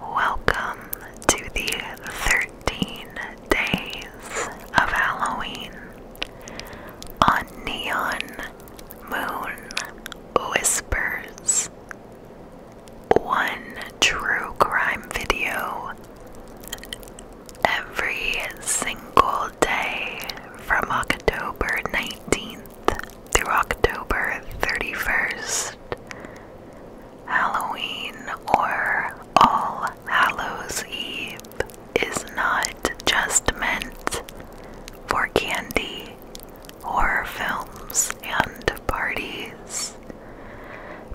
Welcome to the 13 days of Halloween on Neon Moon Whispers. One true crime video every single day from October 19th through October 31st, Halloween or All Hallows Eve is not just meant for candy, horror films, and parties.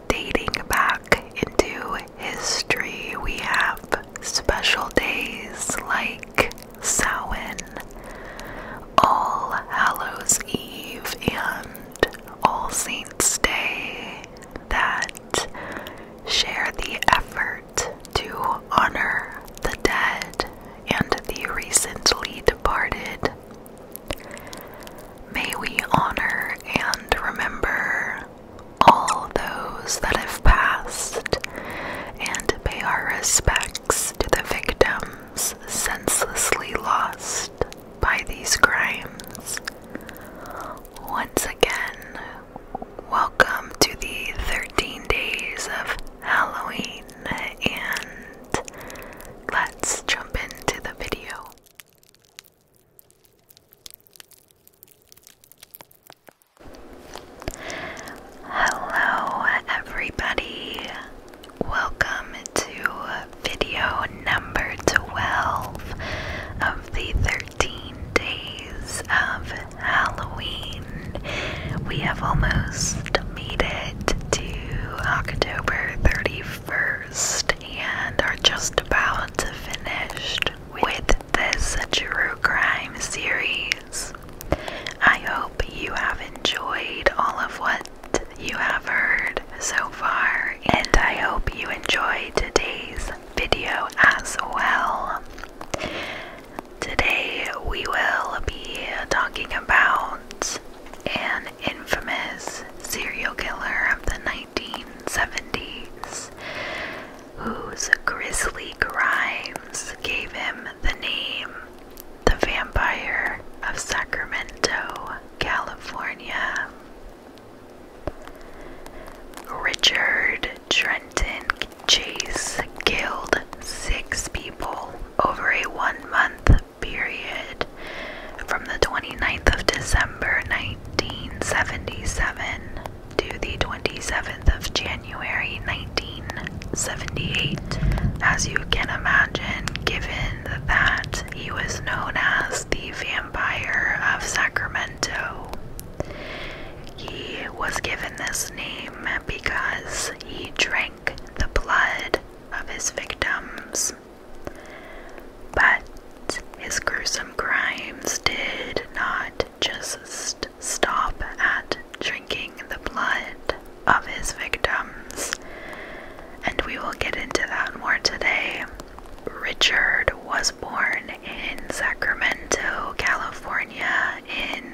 Dating back into history, we have special days like Samhain, All Hallows Eve, and All Saints' Day that share the effort to honor the dead and the recently departed. May we honor and remember all those that have passed and pay our respects to the victims senselessly lost by these crimes. Once again, welcome to the 13 days of Halloween, and let's jump into the video. Hello, everybody. Welcome to video number 12 of the 13 days of Halloween. We have almost made it to October 31st and are just about to finish with this true crime series. I hope you have enjoyed all of what you have heard so far, and I hope you enjoy today's video as well. Today we will be talking about an infamous serial killer of the 1970s whose grisly crimes gave him the name The Vampire of Sacramento, California. Richard Trenton Chase killed six people over a one month period from the 29th of December 1977 to the 27th of January. January 1978. As you can imagine, given that he was known as the Vampire of Sacramento, he was given this name because he drank the blood of his victims. But his gruesome crimes did not just stop at drinking the blood of his victims. And we will get into that more today. Richard was born in Sacramento, California in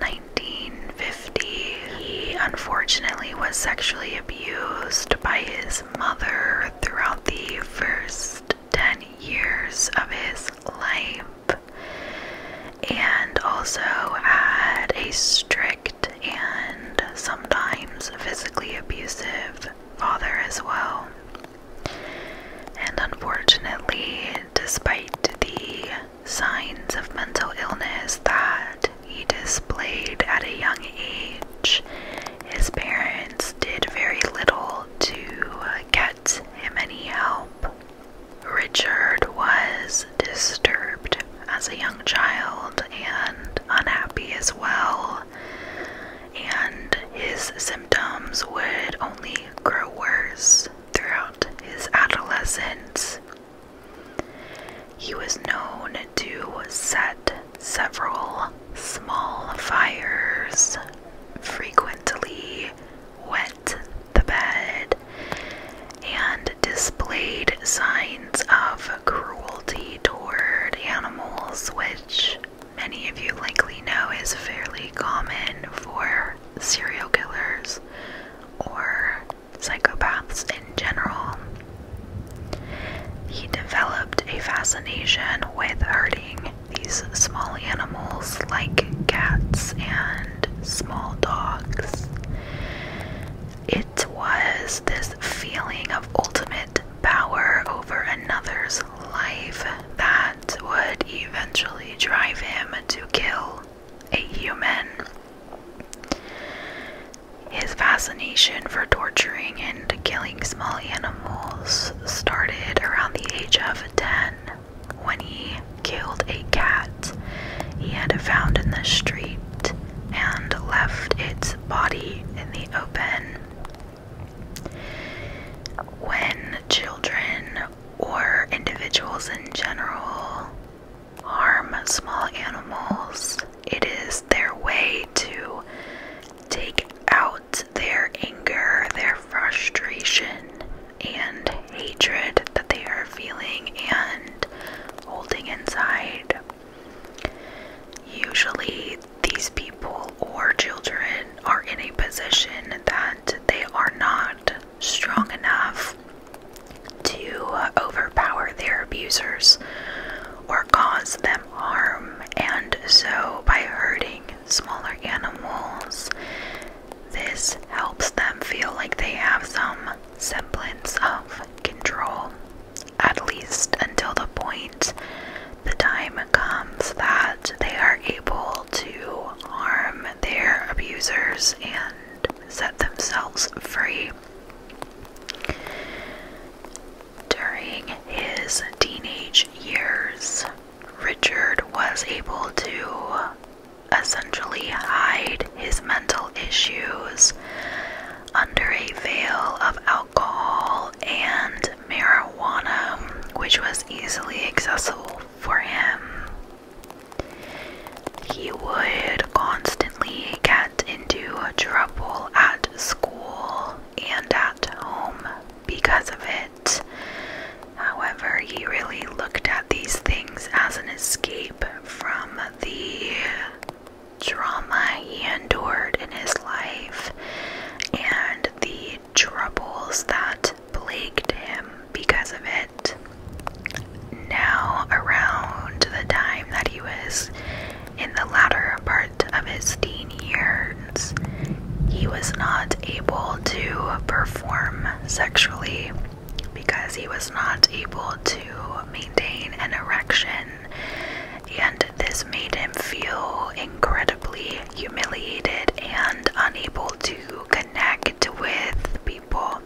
1950. He unfortunately was sexually abused by his mother throughout the first 10 years of his life and also had a strict and sometimes physically abusive father as well. And unfortunately, despite the signs of mental illness that he displayed at a young age, his parents did very little to get him any help. Richard was disturbed as a young child and unhappy as well, and his symptoms would only grow worse throughout his adolescence. He was known to set several small fires frequently wet the bed and displayed signs of cruelty toward animals, which many of you likely know is fairly common for serial killers or psychopaths in general. He developed a fascination with hurting these small animals, like cats and small dogs, it was this feeling of ultimate power over another's life that would eventually drive him to kill a human. His fascination for torturing and killing small animals started around the age of 10 when he killed a cat he had found in the street and left its body in the open. When children or individuals in general harm small animals, it is their way to take out their anger, their frustration, and hatred that they are feeling and holding inside. Usually, these people or children are in a position that they are not strong enough to overpower their abusers or cause them harm, and so by hurting smaller animals. This helps them feel like they have some semblance of control, at least until the point the time comes that they are able to harm their abusers and set themselves free. During his teenage years, Richard was able to essentially hide his mental issues under a veil of alcohol and marijuana, which was easily accessible for him. He would constantly get into trouble at school and at home because of it. However, he really looked at these things as an escape from the trauma he endured in his life and the troubles that plagued him because of it. Now, around the time that he was in the latter part of his teen years, he was not able to perform sexually because he was not able to maintain an erection, and this made him feel incredibly humiliated and unable to connect with people.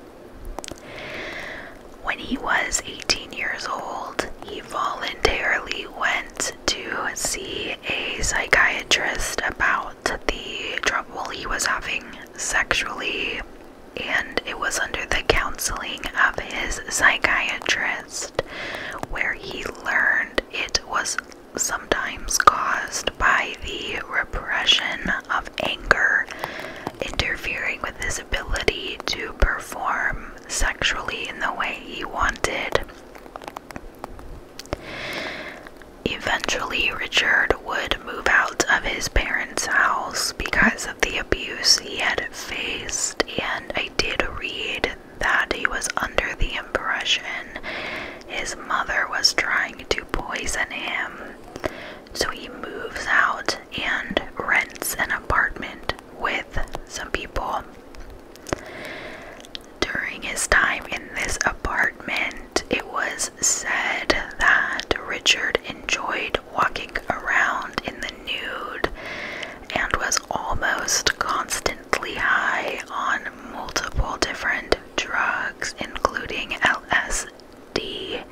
When he was 18 years old, he voluntarily went to see a psychiatrist about the trouble he was having sexually, and it was under the counseling of his psychiatrist where he learned it was sometimes caused by the repression of anger interfering with his ability to perform sexually in the way he wanted. Eventually, Richard would move out of his parents' house because of the abuse he had faced, and I did read that he was under the impression his mother was trying to poison him. So he moves out and rents an apartment with some people. During his time in this apartment, it was said that Richard enjoyed walking around in the nude and was almost constantly high on multiple different drugs, including LSD,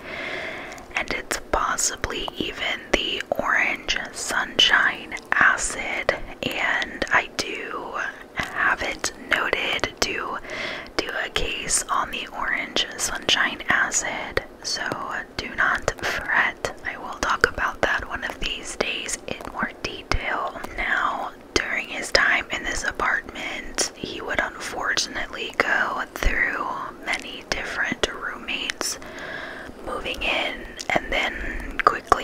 and it's possibly even the orange sunshine acid. And I do have it noted to do a case on the orange sunshine acid. So do not fret. I will talk about that one of these days in more detail. Now, during his time in this apartment, he would unfortunately go through many different roommates, moving in and then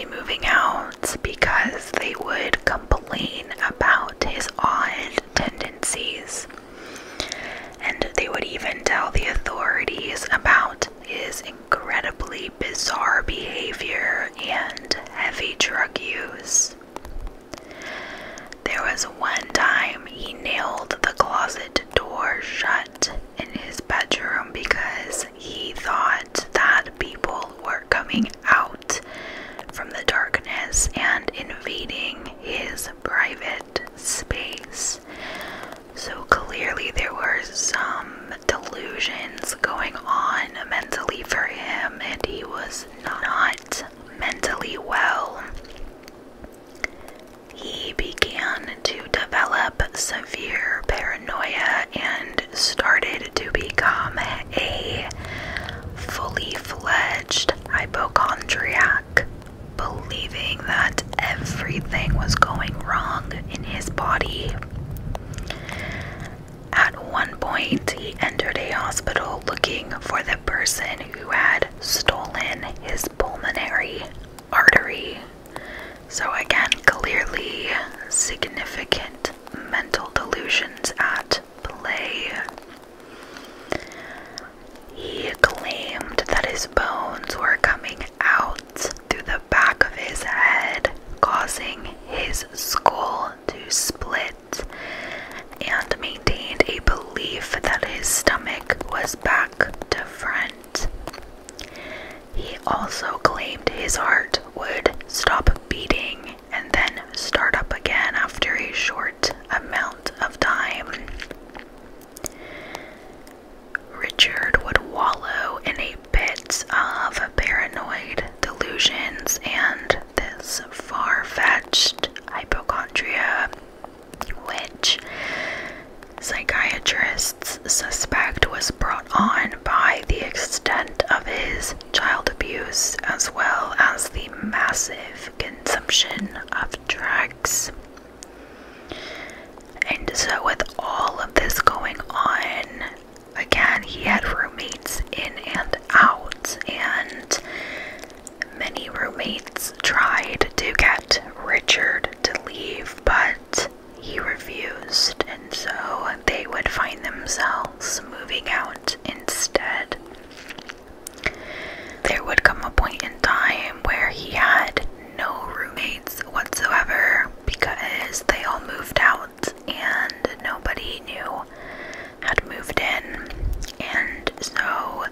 moving out because they would complain about his odd tendencies. And they would even tell the authorities about his incredibly bizarre behavior and heavy drug use. There was one time he nailed the closet door shut in his bedroom because he thought that people were coming out from the darkness and invading his private space. So clearly, there were some delusions going on mentally for him, and he was not mentally well. He began to develop severe paranoia and started to become a fully fledged hypochondriac, believing that everything was going wrong in his body. At one point, he entered a hospital looking for the person who had stolen his pulmonary artery. So, again, clearly significant mental delusions at play. He claimed that his bones were coming out through the back of his head, causing his skull to split, and maintained a belief that his stomach was back to front. He also claimed his heart would stop beating and then start up again after a short amount of time. Richard would wallow in a bit of paranoid delusions and this far fetched hypochondria, which psychiatrists suspect was brought on by the extent of his child abuse as well as the massive consumption of drugs. And so, with all of this going on, again, he had roommates in and out, and many roommates tried to get Richard to leave, but he refused, and so they would find themselves moving out instead. There would come a point in time where he had no roommates whatsoever because they all moved out and nobody knew had moved in. And so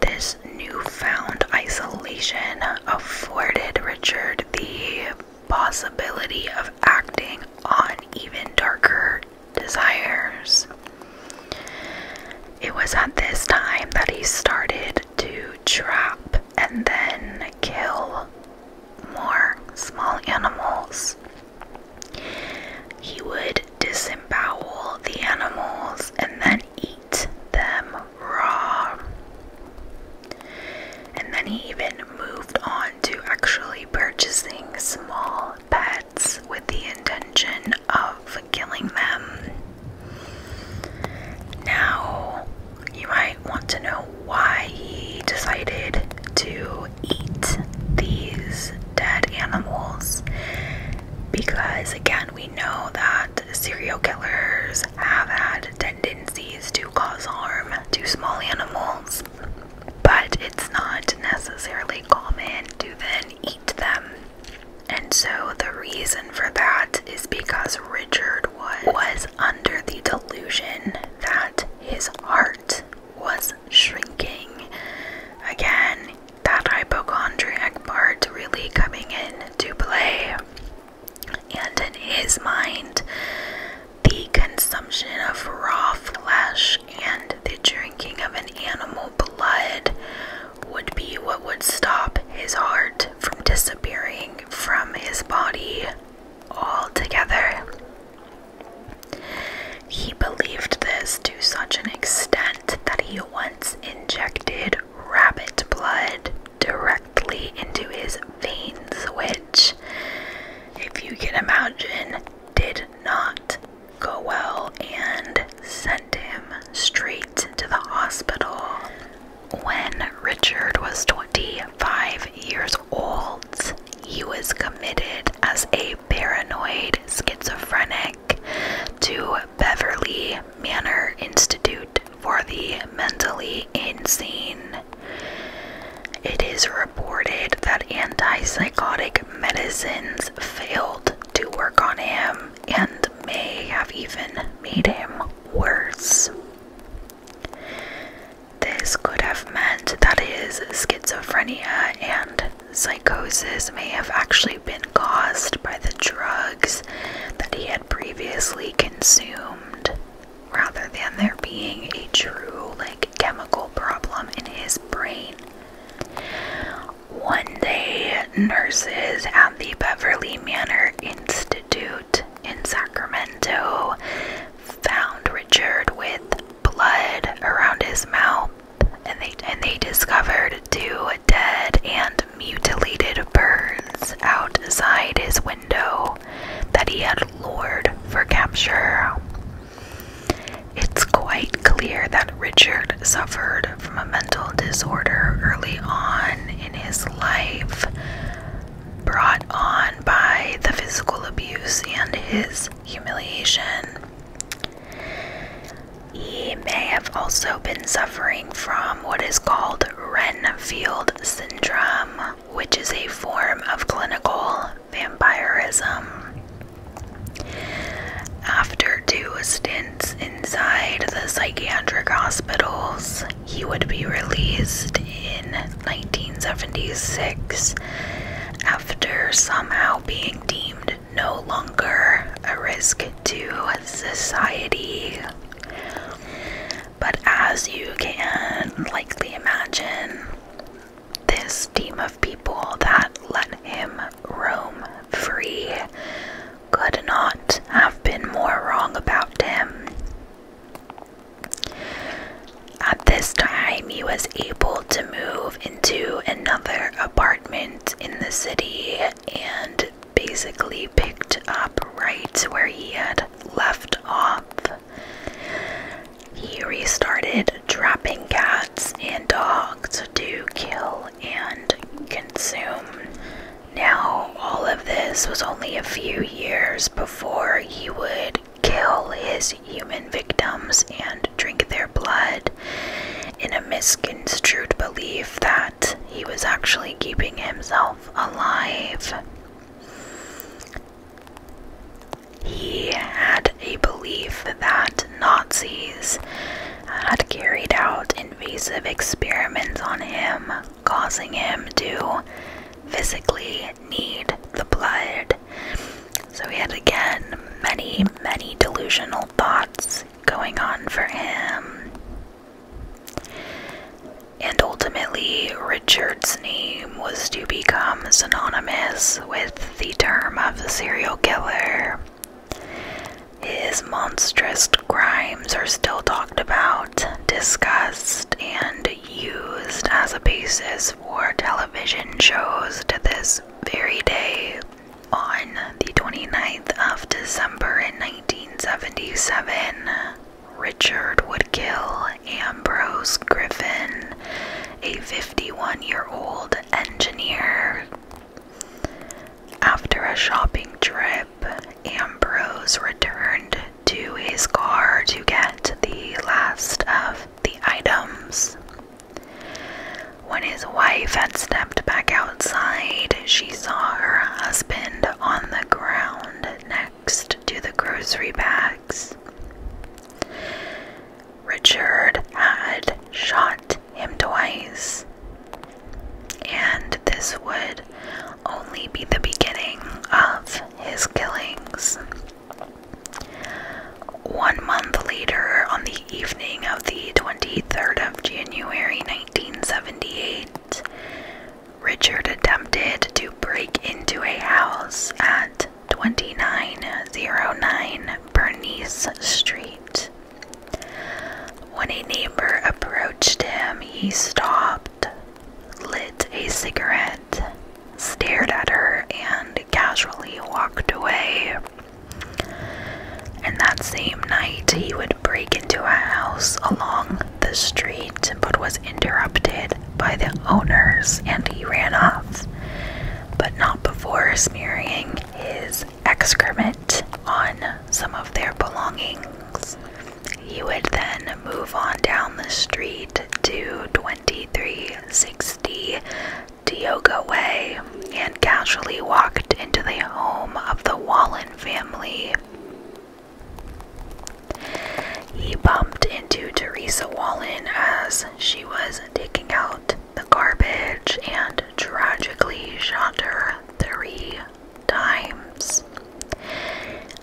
this newfound isolation afforded Richard the possibility of acting on even darker desires. It was at this time that he started to trap and then kill more small animals. He would disembowel the animals and then eat them raw. And then he even moved on to actually purchasing small pets with the intention of killing them. Now, you might want to know why he decided to eat these dead animals. Because, again, we know that serial killers have had tendencies to cause harm to small animals, but it's not necessarily common to then eat them. And so the reason for that is because Richard was, under the delusion that his heart was shrinking. Again, that hypochondriac part really coming in to play. And in his mind, the consumption of raw flesh and the drinking of an animal blood would be what would stop his heart from disappearing from his body altogether. He believed this to such an extent that he once injected rabbit blood directly into his veins, which, if you can imagine, did not go well and sent him straight to the hospital. When Richard was 25 years old, he was committed as a paranoid schizophrenic to Beverly Manor Institute for the Mentally Insane. It is reported that antipsychotic medicines failed to work on him and may have even made him worse. This could have meant that his schizophrenia and psychosis may have actually been caused by the drugs that he had previously consumed rather than there being a true, like, chemical problem in his brain. One day, nurses at the Beverly Manor Institute in Sacramento found Richard with blood around his mouth, and they and they discovered two dead and mutilated birds outside his window that he had lured for capture. It's quite clear that Richard suffered from a mental disorder early on in his life, brought on by the physical abuse and his humiliation. He may have also been suffering from what is called Renfield syndrome, which is a form of clinical vampirism. After two stints inside the psychiatric hospitals, he would be released in 1976 after somehow being deemed no longer a risk to society. But as you can likely imagine, this team of people that let him roam free could not have been more wrong about him. At this time, he was able to move into another apartment in the city and basically picked up right where he had left off. He restarted trapping cats and dogs to kill and consume. Now, all of this was only a few years before he would kill his human victims and drink their blood in a misconstrued belief that he was actually keeping himself alive. He had a belief that Nazis had carried out invasive experiments on him, causing him to physically need the blood. So he had again many, many delusional thoughts going on for him. And ultimately, Richard's name was to become synonymous with the term of serial killer. His monstrous crimes are still talked about, discussed, and used as a basis for television shows to this very day. On the 29th of December in 1977, Richard would kill Ambrose Griffin, a 51 year old engineer. After a shopping trip, Ambrose returned to his car to get the last of the items. When his wife had stepped back outside, she saw her husband on the ground next to the grocery bags. Richard had shot him twice, and this would only be the beginning of his killings. One month later, on the evening of the 23rd of January 1978, Richard attempted to break into a house at 2909 Bernice Street. When a neighbor approached him, he stopped, lit a cigarette, stared at her, and casually walked away. And that same night, he would break into a house along the street but was interrupted by the owners and he ran off, but not before smearing his excrement on some of their belongings. He would then move on down the street to 2360 Dioga Way and casually walked into the home of the Wallen family. He bumped into Teresa Wallen as she was taking out the garbage and tragically shot her three times.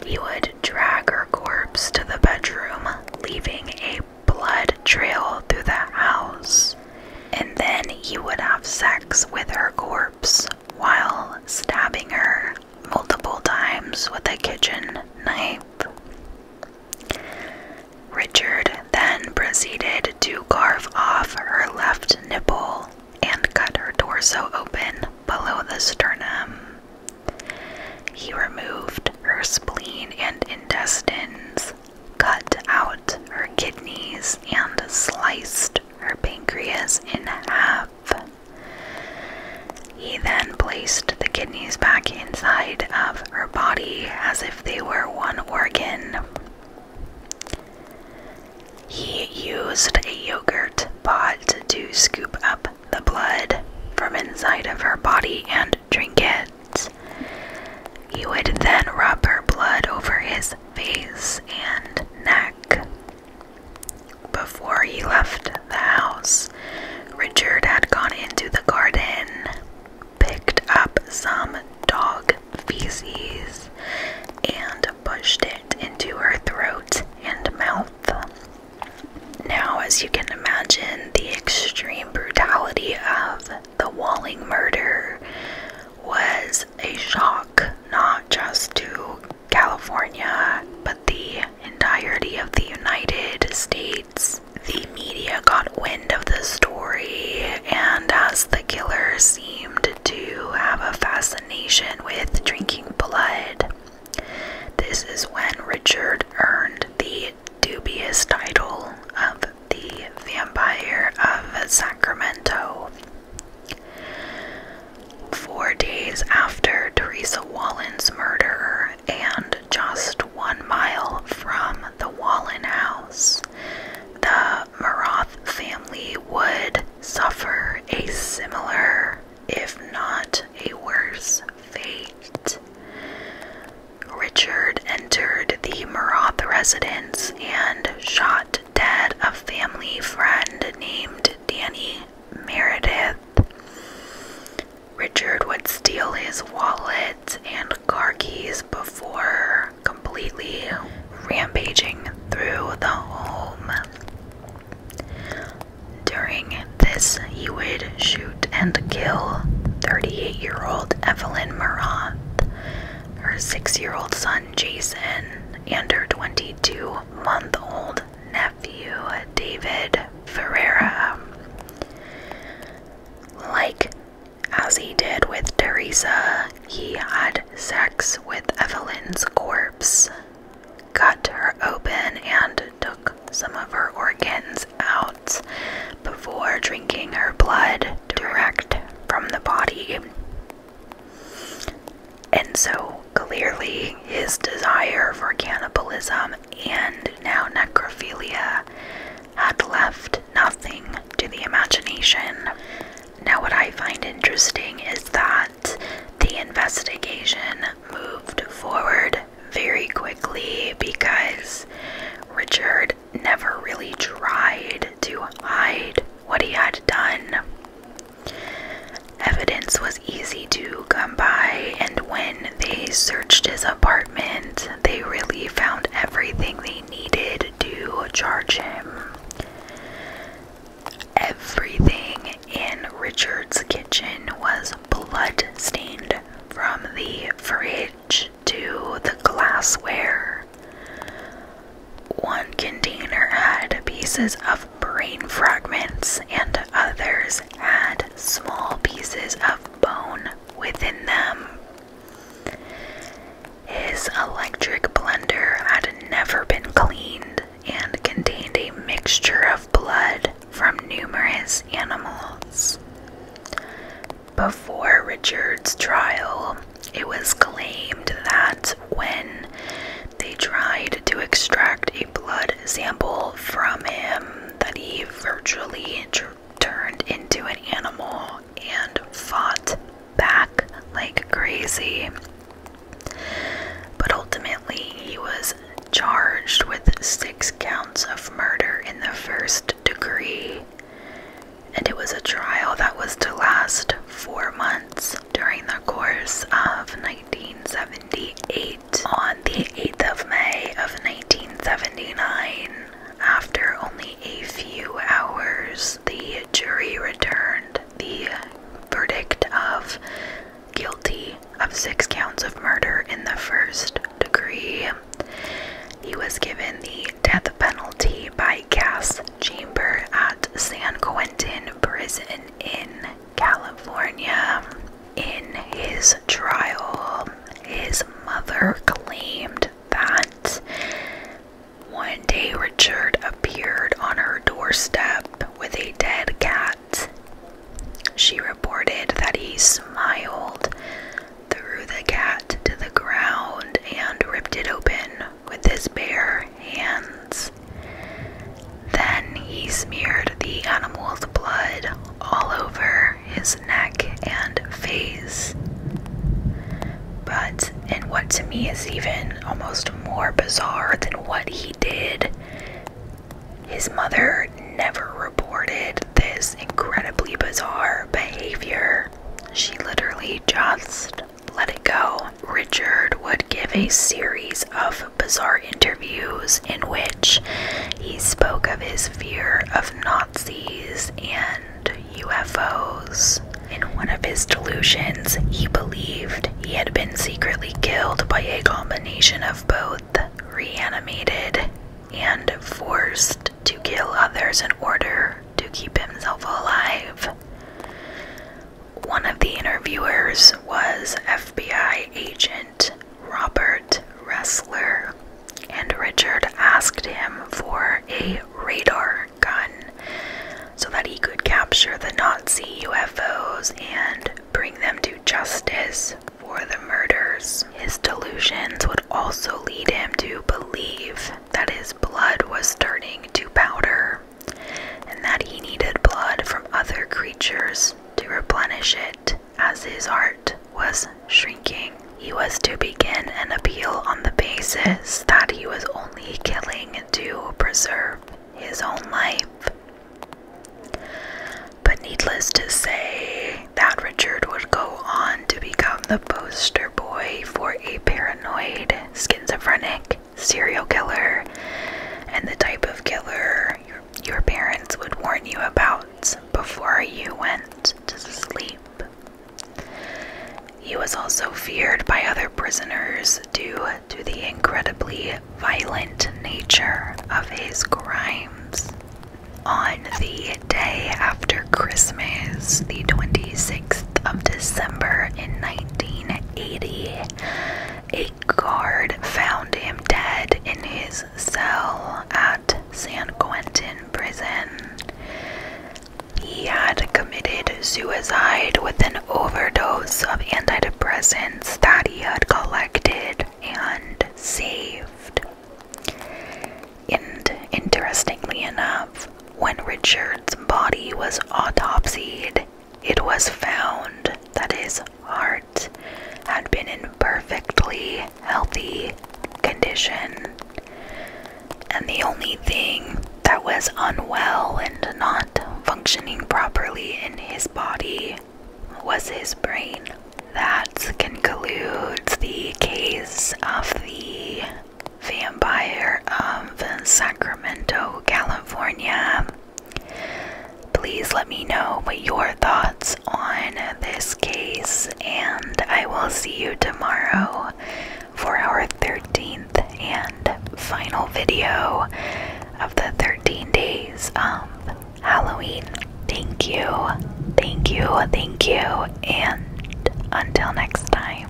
He would drag her corpse to the bedroom, leaving a blood trail through the house. And then he would have sex with her corpse while stabbing her multiple times with a kitchen knife. Richard then proceeded to carve off her left nipple and cut her torso open below the sternum. He removed her spleen and intestines, cut out her kidneys, and sliced her pancreas in half. He then placed the kidneys back inside of her body as if they were one organ. He used a yogurt pot to scoop up the blood from inside of her body and drink it. He would then rub her blood over his face and neck. Before he left the house, Richard had gone into the garden, picked up some dog feces, and pushed it into her throat and mouth. Now, as you can imagine, the extreme brutality of the Walling murder was a shock not just to California, but the entirety of the United States. The media got wind of the story, and as the killer seemed to have a fascination with drinking blood, this is when Richard earned the dubious title of the Vampire of Sacramento. Four days after Teresa Wallen's murder, and just one mile from the Wallen house, the Maroth family would suffer a similar, if not a worse, fate. Richard entered the Maroth residence and shot dead a family friend named Danny Meredith. Richard would steal his wallet and car keys before completely rampaging through the home. During this, he would shoot and kill 38 year old Evelyn Marath, her six year old son Jason and her 22 month old nephew David Ferreira. Like as he did with Teresa, he had sex with Evelyn's corpse, cut her open, and took some of her organs out before drinking her blood direct from the body. And so clearly, his desire for cannibalism and now necrophilia had left nothing to the imagination. Now, what I find interesting is that the investigation moved forward very quickly because Richard never really tried to hide what he had done. Evidence was easy to come by, and when they searched his apartment, they really found everything they needed to charge him. Everything in Richard's kitchen was blood stained from the fridge to the glassware. One container had pieces of brain fragments, and others had small pieces of bone within them. His electric blender had never been cleaned and contained a mixture of blood from numerous animals. Before Richard's trial, it was claimed that when they tried to extract a blood sample from him, that he virtually turned into an animal and fought back like crazy. But ultimately, he was charged with six counts of murder in the first degree and it was a trial that was to last four months during the course of 1978. On the 8th of May of 1979, after only a few hours, the jury returned the verdict of guilty of six counts of murder in the first degree. He was given the death penalty by gas Chamber at San Quentin Prison in California. In his trial, his mother claimed that one day Richard appeared on her doorstep with a dead cat. She reported that he smiled, threw the cat to the ground, and ripped it open with his bare hands. Then he smeared the animal's blood all over his neck and face. But in what to me is even almost more bizarre than what he did, his mother never reported this incredibly bizarre behavior. She literally just let It Go, Richard would give a series of bizarre interviews in which he spoke of his fear of Nazis and UFOs. In one of his delusions, he believed he had been secretly killed by a combination of both reanimated and forced to kill others in order to keep himself alive. One of the interviewers was FBI agent Robert Wrestler, and Richard asked him for a radar gun so that he could capture the Nazi UFOs and bring them to justice for the murders. His delusions would also lead him to believe that his blood was turning to powder, and that he needed blood from other creatures to replenish it as his heart was shrinking. He was to begin an appeal on the basis that he was only killing to preserve his own life. But needless to say, that Richard would go on to become the poster boy for a paranormal paranoid, schizophrenic, serial killer, and the type of killer your parents would warn you about before you went to sleep. He was also feared by other prisoners due to the incredibly violent nature of his crimes. On the day after Christmas, the 26th of December in 1980, a guard found him dead in his cell at San Quentin Prison. He had committed suicide with an overdose of antidepressants that he had collected and saved. And interestingly enough, when Richard's body was autopsied, it was found that his heart had been in perfectly healthy condition. And the only thing that was unwell and not functioning properly in his body was his brain. That concludes the case of the Vampire um, of Sacramento, California. Please let me know what your thoughts on this case, and I will see you tomorrow for our 13th and final video of the 13 days of Halloween. Thank you, thank you, thank you, and until next time.